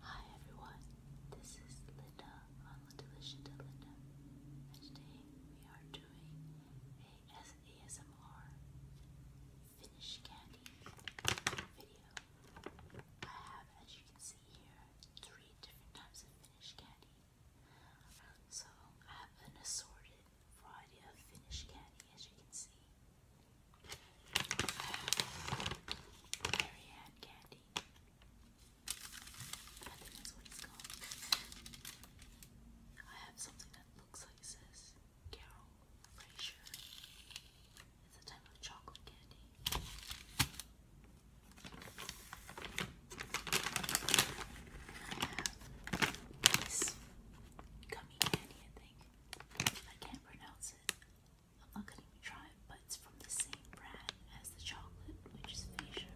Hi everyone, this is Linda on the Delicious Linda, and today we are doing a ASMR Finnish candy video. I have, as you can see here, three different types of Finnish candy. So I have an assorted variety of Finnish candy, as you can see. Marianne candy. I think that's what it's called. I have something that looks like it says Carol Fraser. It's a type of chocolate candy. And gummy candy, I think. I can't pronounce it. I'm not gonna even try it, but it's from the same brand as the chocolate, which is Facia,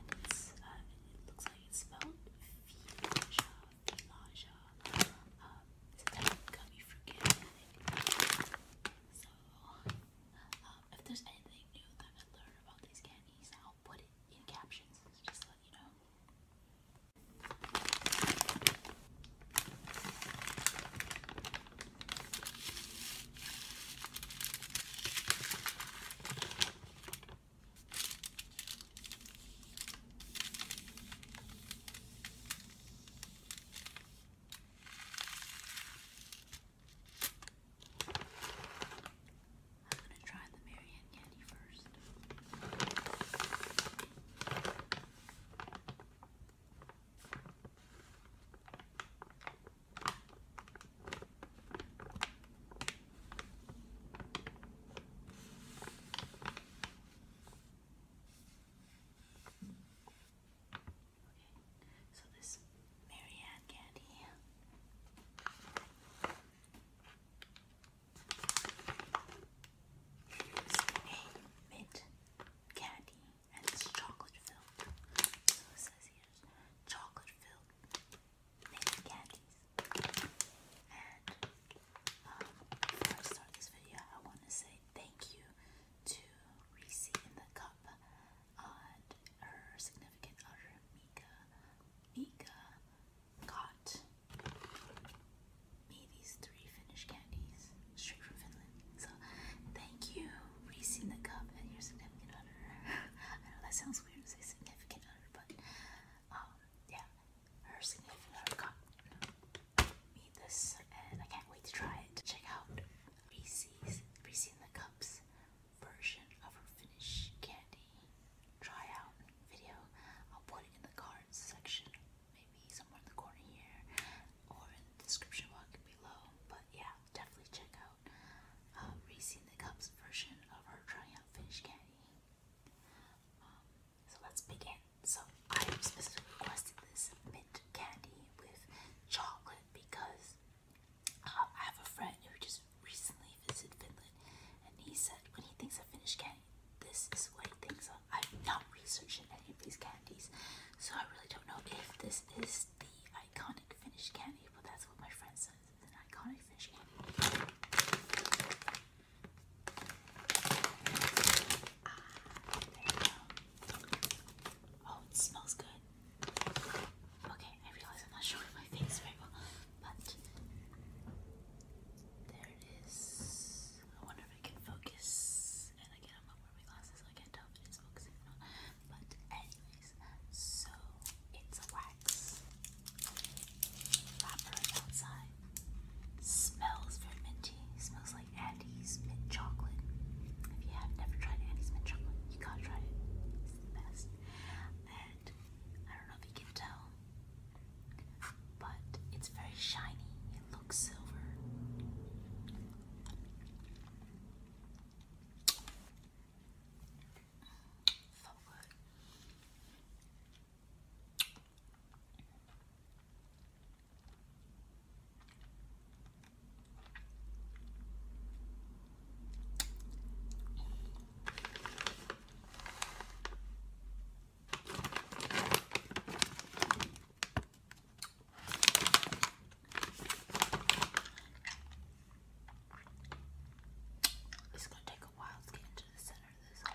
and it's uh, it looks like it's spelled Filaja, Filaja. Um, it's a type of gummy fruit So, um, if there's anything new that I learned about these candies, I'll put it in captions just to you know. I'm going to try the Marianne Candy first so this Marianne candy. Here's a mint candy and it's chocolate filled. So it says here's chocolate filled mint candies. Um, before I start this video, I want to say thank you to Reese in the Cup and her significant other, Mika. Mika got me these three Finnish candies straight from Finland. So thank you, Reese in the Cup and your significant other. I know that sounds weird to say significant other, but um, yeah, her significant other got me this, and I can't wait to try it. Check out Reese's Reese in the Cups version of her Finnish candy try video. I'll put it in the cards section, maybe somewhere in the corner here, or in the description box below. But yeah, definitely check out uh, Racing the Cup's version of our trying out finished candy. Um, so let's begin. So I specifically requested this mint candy with chocolate because uh, I have a friend who just recently visited Finland, and he said when he thinks of Finnish candy this is what he thinks i am not researching any of these candies, so I really don't know if this is the iconic Finnish candy, but that's what my friend says It's an iconic Finnish candy. Ah, oh, it smells good. Okay, I realize I'm not showing my face very but there is. I wonder if I can focus. And again, I'm not wearing glasses, so I can't tell if it's focusing or not. But, anyways, so it's a wax wrapper outside. Smells very minty. Smells like Andy's mint chocolate. If you have never tried Andy's mint chocolate, you gotta try it. It's the best. And I don't know if you can tell but it's very shiny. It looks silver. So good. It's going to take a while to get into the center of this.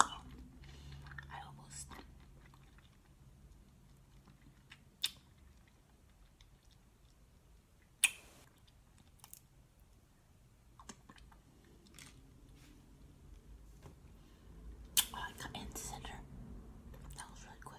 I almost Oh, I got in center. That was really quick.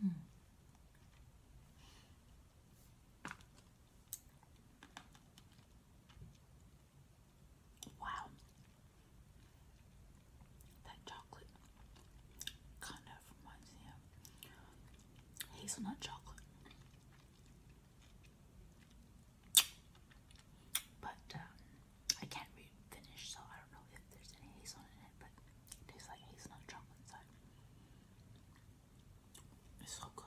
Hmm. Wow, that chocolate kind of reminds me of hazelnut chocolate but um, I can't finish, so I don't know if there's any hazelnut in it, but tastes like hazelnut chocolate inside. It's so good.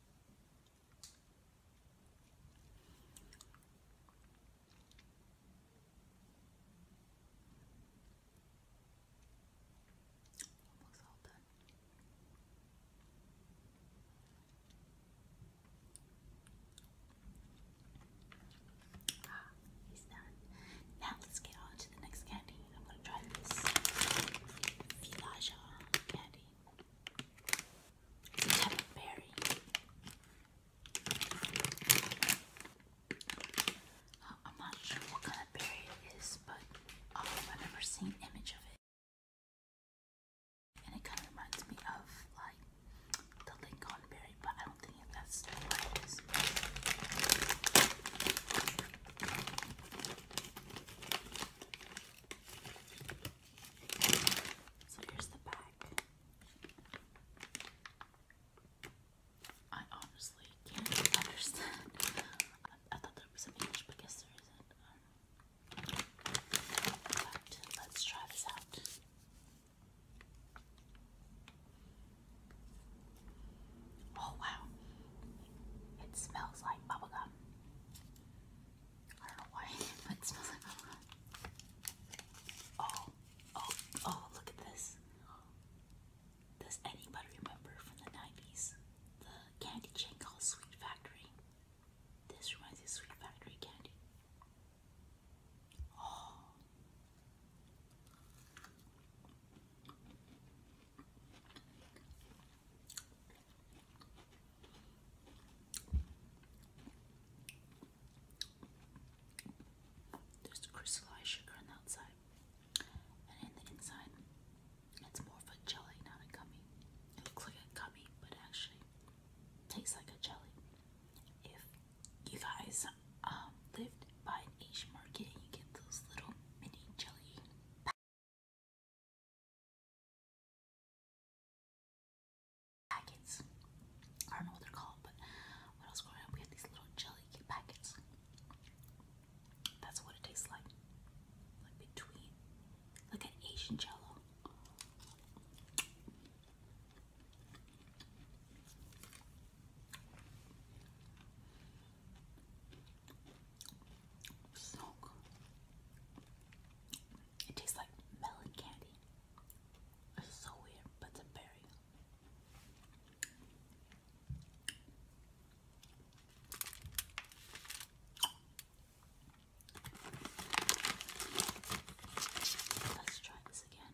Almost all done. Ah, he's done. Now let's get on to the next candy. I'm gonna try this Filaja candy. It's a of berry. Uh, I'm not sure what kind of berry it is, but um, I've never seen an image of it. And it kind of reminds me of like the Lincoln but I don't think that's the it is. So here's the back. I honestly can't understand. I, thought there was some English, but guess there isn't. but let's try this out. Oh wow. It smells like bubblegum. I don't know why, but it smells like bubblegum. Oh, oh, oh, look at this. Does anybody remember from the 90s the candy chain called Sweet Factory? This reminds me of Sweet Factory candy. Oh. There's crystallized sugar on the outside, and in the inside, it's more of a jelly, not a gummy. It looks like a gummy, but actually tastes like a jelly. If you guys um, lived buy an Asian market and you get those little mini jelly packets. I don't know what they're called, but when I we had these little jelly packets. That's what it tastes like. Like between, like an Asian jello. So good. It tastes like melon candy. so weird, but it's a berry. Let's try this again.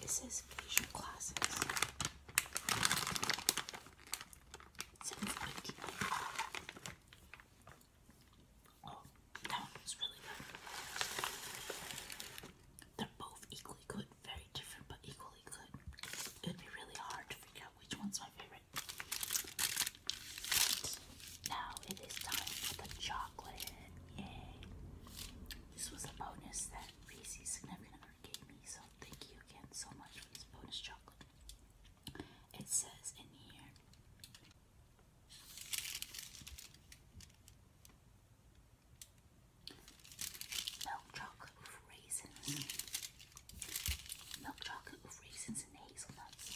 This is Asian Classics. Oh, that one was really good. They're both equally good, very different, but equally good. It'd be really hard to figure out which one's my favorite. now it is time for the chocolate. Yay! This was a bonus that Reese's significant gave me, so thank you again so much for this bonus chocolate. It says in here. Milk chocolate with raisins. Milk chocolate with raisins and hazelnuts.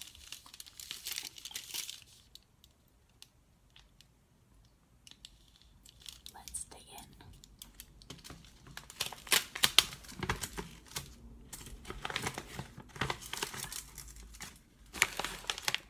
Let's dig in.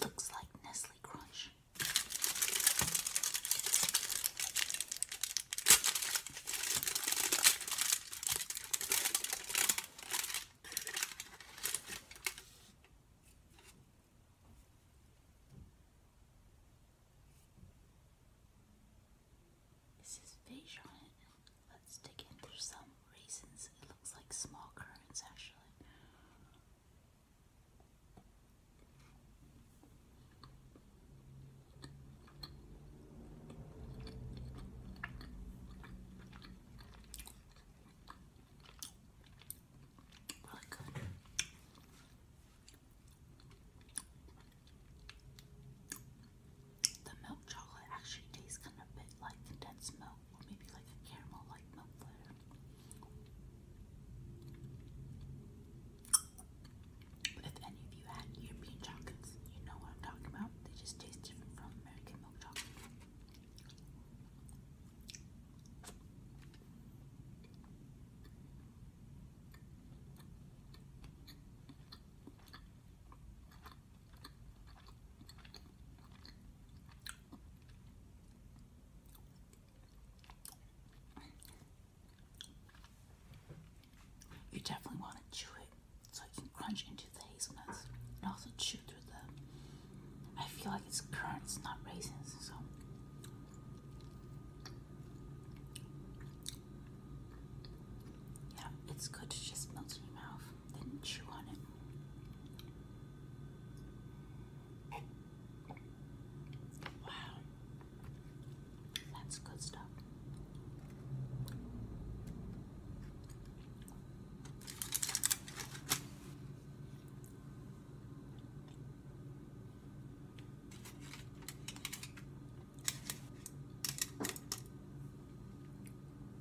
Looks like Nestle Crunch. It says fish on it. Let's dig in. There's some raisins. It looks like small currants actually. Really good the milk chocolate actually tastes kind of a bit like condensed milk, or maybe like a caramel like milk flavor. But if any of you had European chocolates, you know what I'm talking about. They just taste different from American milk chocolate. You definitely want to chew it so you can crunch into the hazelnuts and also chew through the. I feel like it's currants, not raisins, so. Yeah, it's good to just melt in your mouth, then chew on it. Wow, that's good stuff.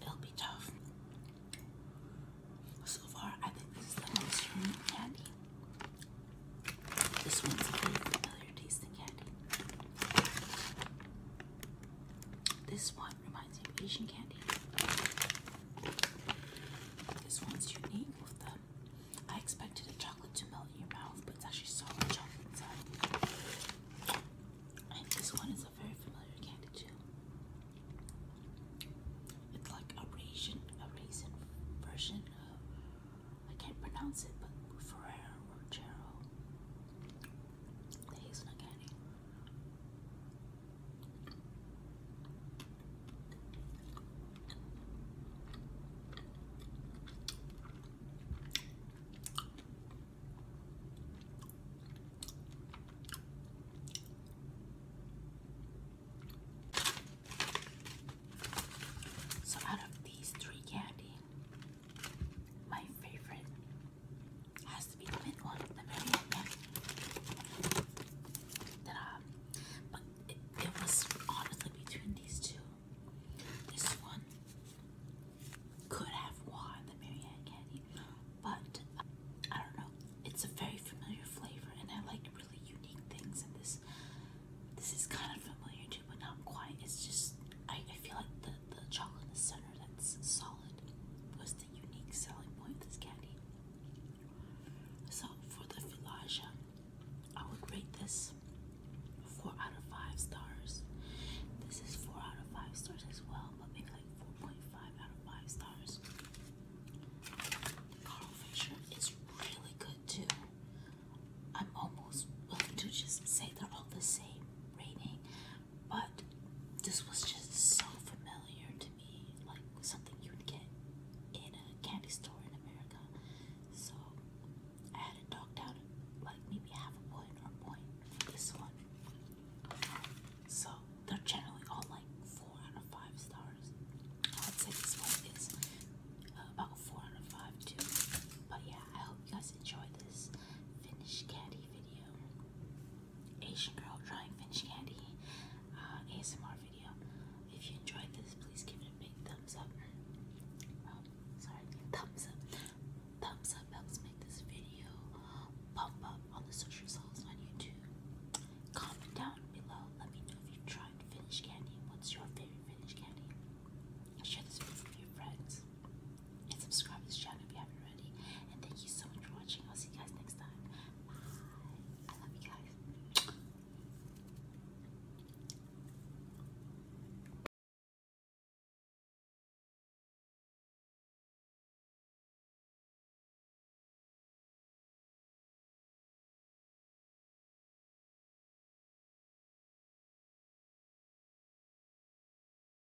It'll be tough. So far, I think this is the most unique candy. This one's a very familiar tasting candy. This one reminds me of Asian candy. This one's unique I expected a chocolate to melt in your mouth, but it's actually so much chocolate inside. And this one is a very familiar candy too. It's like a raisin, a raisin version of I can't pronounce it, but Ferrero Rocher, the hazelnut candy. So, out of these three candy, my favorite has to be the mint one, the very one. But uh, it, was honestly between these two. This one could have won the Marianne candy, but uh, I don't know. It's a very familiar flavor, and I like really unique things. And this, this is kind of familiar too, but not quite. It's just I, I feel like the the chocolate in the center that's solid was unique selling point of this candy. So for the Filaja, I would rate this four out of five stars. This is four out of five stars as well, but maybe like four point five out of five stars. Carl Fisher is really good too. I'm almost willing to just say they're all the same rating. But this was just so familiar to me, like something you would get in a candy store in America. So I had it docked down like maybe half a point or a point for this one. So they're generally all like four out of five stars. I'd say this one is uh, about four out of five too. But yeah, I hope you guys enjoy this finish candy video. Asian girl trying Finnish candy uh, ASMR video. If you enjoyed this, please give it a big thumbs up. sorry, thumbs up. Thumbs up helps make this video pop up on the search on YouTube. Comment down below. Let me know if you tried Finnish candy. What's your favorite Finnish candy? Share this with your friends and subscribe to this channel if you haven't already. And thank you so much for watching. I'll see you guys next time. Bye. I love you guys.